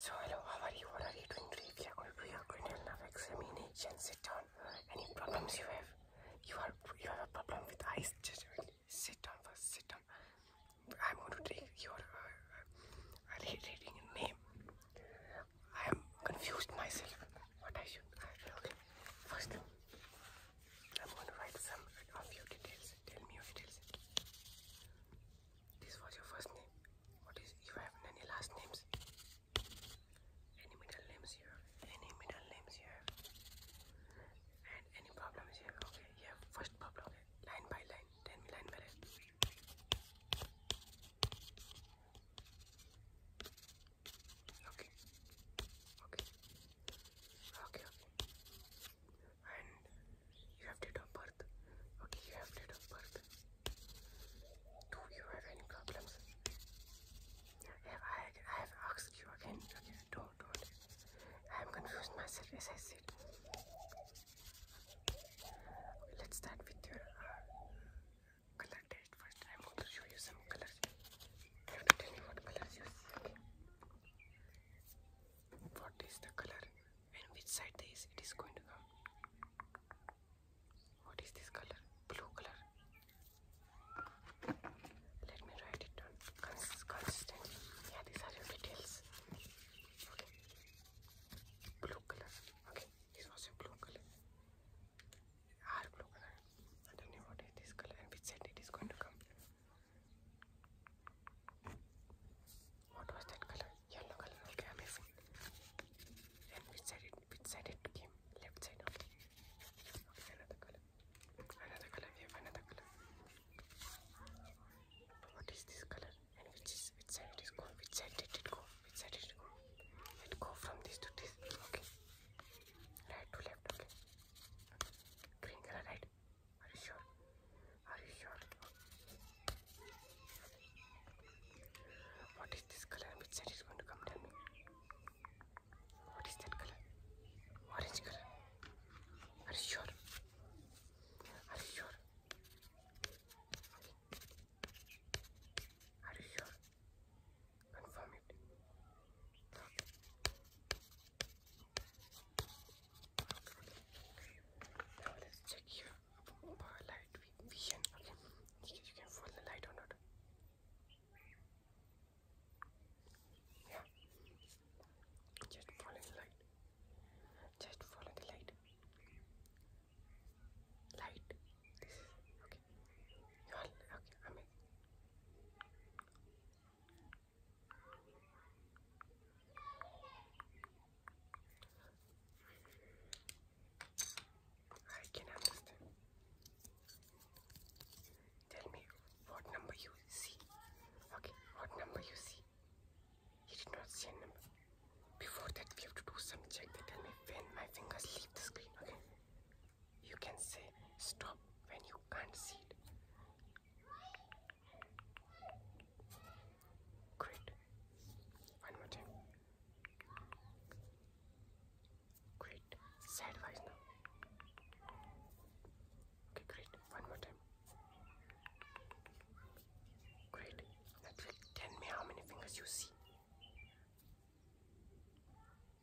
So hello, how are you? What are you doing today? We are going to do your examination. Sit down. Any problems you have? You are you have a problem with eyes? Just sit down first. Sit down. I'm to take your uh, uh, reading name. I am confused myself. What I should okay. First, I'm to write some of your details. Tell me details. This was your first name. What is if I have any last names? Any middle names here? Any middle names here? And any problems here? Okay, here first problem. Line by line. Tell line by line. Okay. Okay. Okay, okay and you have date of birth. Okay, you have date of birth. Do you have any problems? Have I, I have asked you again. Okay, don't, don't. I am confused myself as I said. let's start with your uh, color test first. I'm going to show you some colors. have to tell me what colors you see. What is the color? and which side this it is going to come what is this color blue color let me write it down Cons consistently yeah these are your details okay blue color okay this was a blue color our blue color I don't know what is this color and which side it is going to come what was that color? Yellow color. Okay, amazing. And which side which side it came? Left side. Okay. Okay, another color. Another color. We have another color. What is this color? And which is which side it is going? Which side did it go? Which side did it go? It go from this to this. Okay. Right to left. Okay. Green color, right. Are you sure? Are you sure? What is this color? Which side is going to come? Tell me. What is that color? Orange color. Are you sure? Are you sure? Are you sure? Confirm it. Okay. Now let's check here light vision. Okay, you can follow the light or not. Yeah, just follow the light. Just follow the light. Light. This is okay. You're okay. Amazing. I can Tell me what number you see. Okay, what number you see? He did not see a number. Before that, we have to do some check. tell me when my fingers leave the screen. Okay, you can say stop when you can't see it. Great. One more time. Great. Sideways now. Okay, great. One more time. Great. Now tell me how many fingers you see.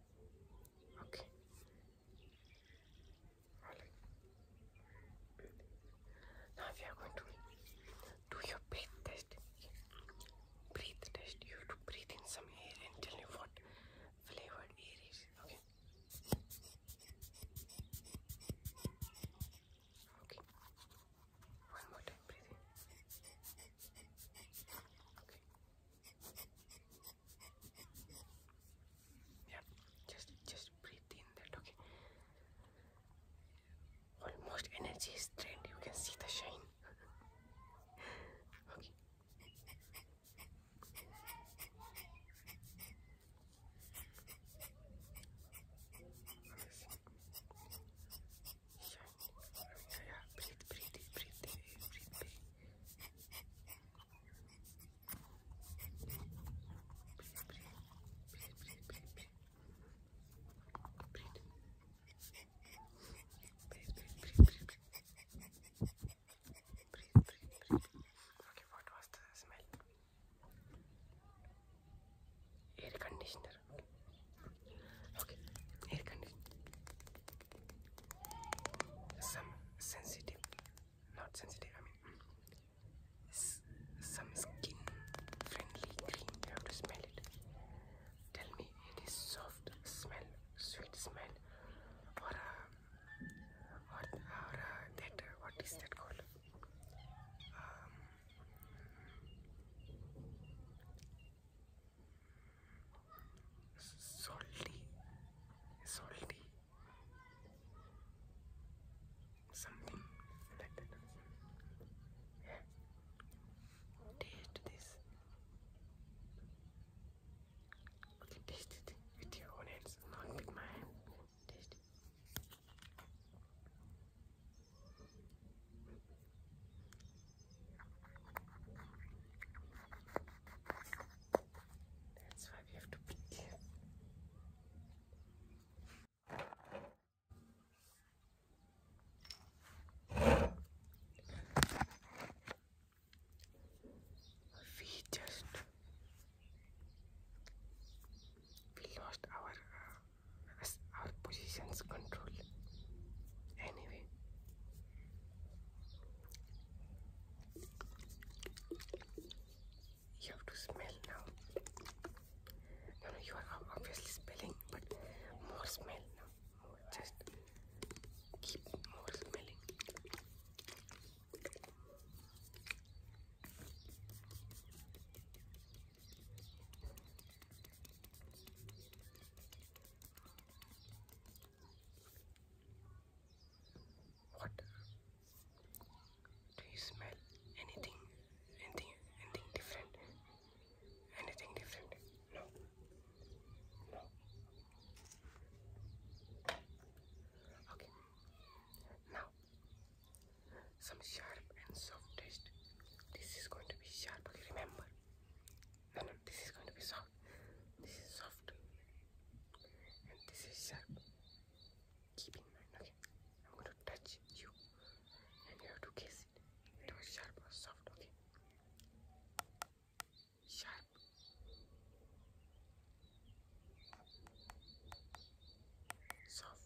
okay okay now we are going to do your breath test breathe test you to breathe in some air and tell me what flavored air is okay Okay. One more time, breathe yeah, just just breathe in that. Okay. Almost energy is drained. You can see the shine. okay. Yeah, yeah, yeah. Breathe, breathe, in, breathe, in, breathe, in. breathe. Breathe, breathe, breathe, breathe, breathe, breathe. Breathe. Breathe, breathe, breathe, breathe, breathe. Breathe, breathe, breathe. Okay, what was the smell? air conditioner okay air conditioner some sensitive not sensitive i mean some skin friendly cream you have to smell it tell me it is soft smell sweet smell or uh, or, or uh, that uh, what is that called um, salty salty something like that taste this okay taste it with your own hands not with my taste it that's why we have to be We just we lost our uh, as our positions control anyway you have to smell now no no you are obviously spelling but more smell now just keep more smelling what? Do you smell anything? Anything? Anything different? Anything different? No. No. Okay. Now some sharp and soft taste. This is going to be sharp. Okay, remember. No, no, this is going to be soft. This is soft, and this is sharp. Keep in mind. Okay, I'm going to touch you, and you have to kiss it. It was sharp or soft. Okay, sharp. Soft.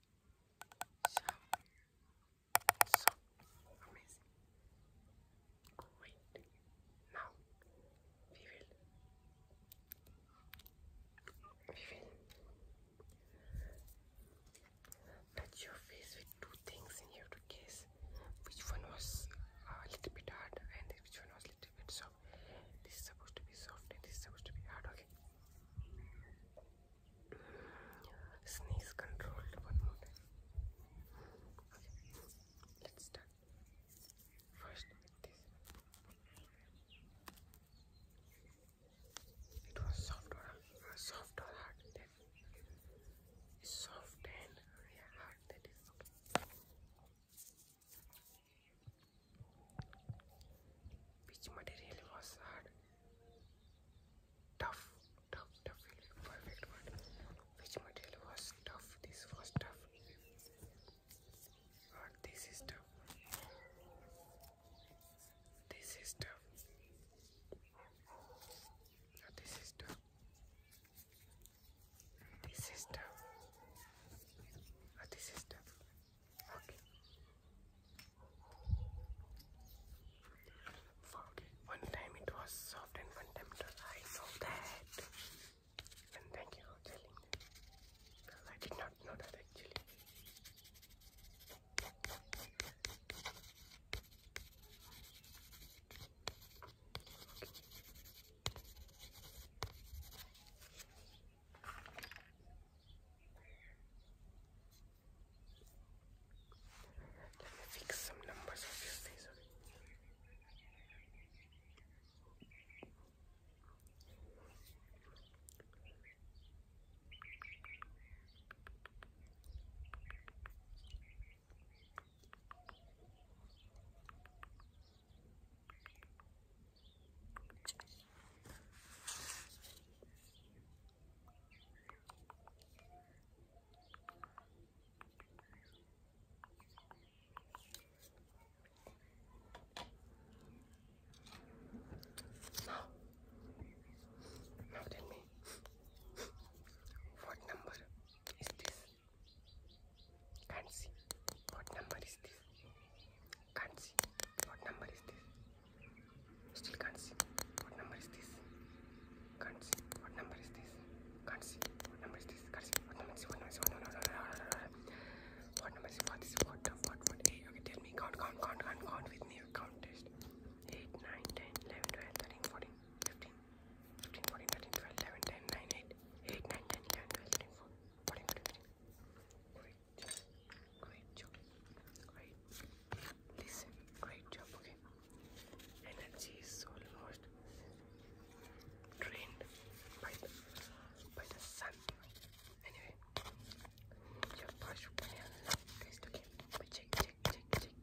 So, so amazing. Great. Now we will we will touch your face two things and you to guess which one was uh, a little bit hard and which one was a little bit soft. This is supposed to be soft and this is supposed to be hard, okay? Sneeze controlled one more Okay. Let's start. First this. It was soft or uh, soft or hard. That is soft and yeah, hard. That is okay. Which material was hard? Tough, tough, tough, perfect word. Which material was tough? This was tough. Or this is tough. This is tough. Or this is tough. This is tough. Or this is tough. Okay. Okay. One time it was soft and one time it was I know that. And thank you for telling me. I did not know that actually. Let me fix some numbers of your face. Okay? Now, now tell me, what number is this? Can't see. What number is this? Can't see. What number is this? Still can't see. What number is this? Can't see. What number is this? Can't see. What number is this? Can't see. What number is what number is what number is what number is what is what what what hey okay tell me count count count count count with me count test 8 9 10 11 12 13 14 15 15, 14, 13, 12, 11, 10, 9, 8, 8, 9, 10, 11, 12, 13, 14, 14, 15. Great job. Great job. Great. Listen. Great job. Okay. Energy is almost drained by the, by the sun. Anyway, your brush is okay. But check, check, check, check.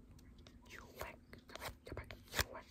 You whack, you whack, you whack,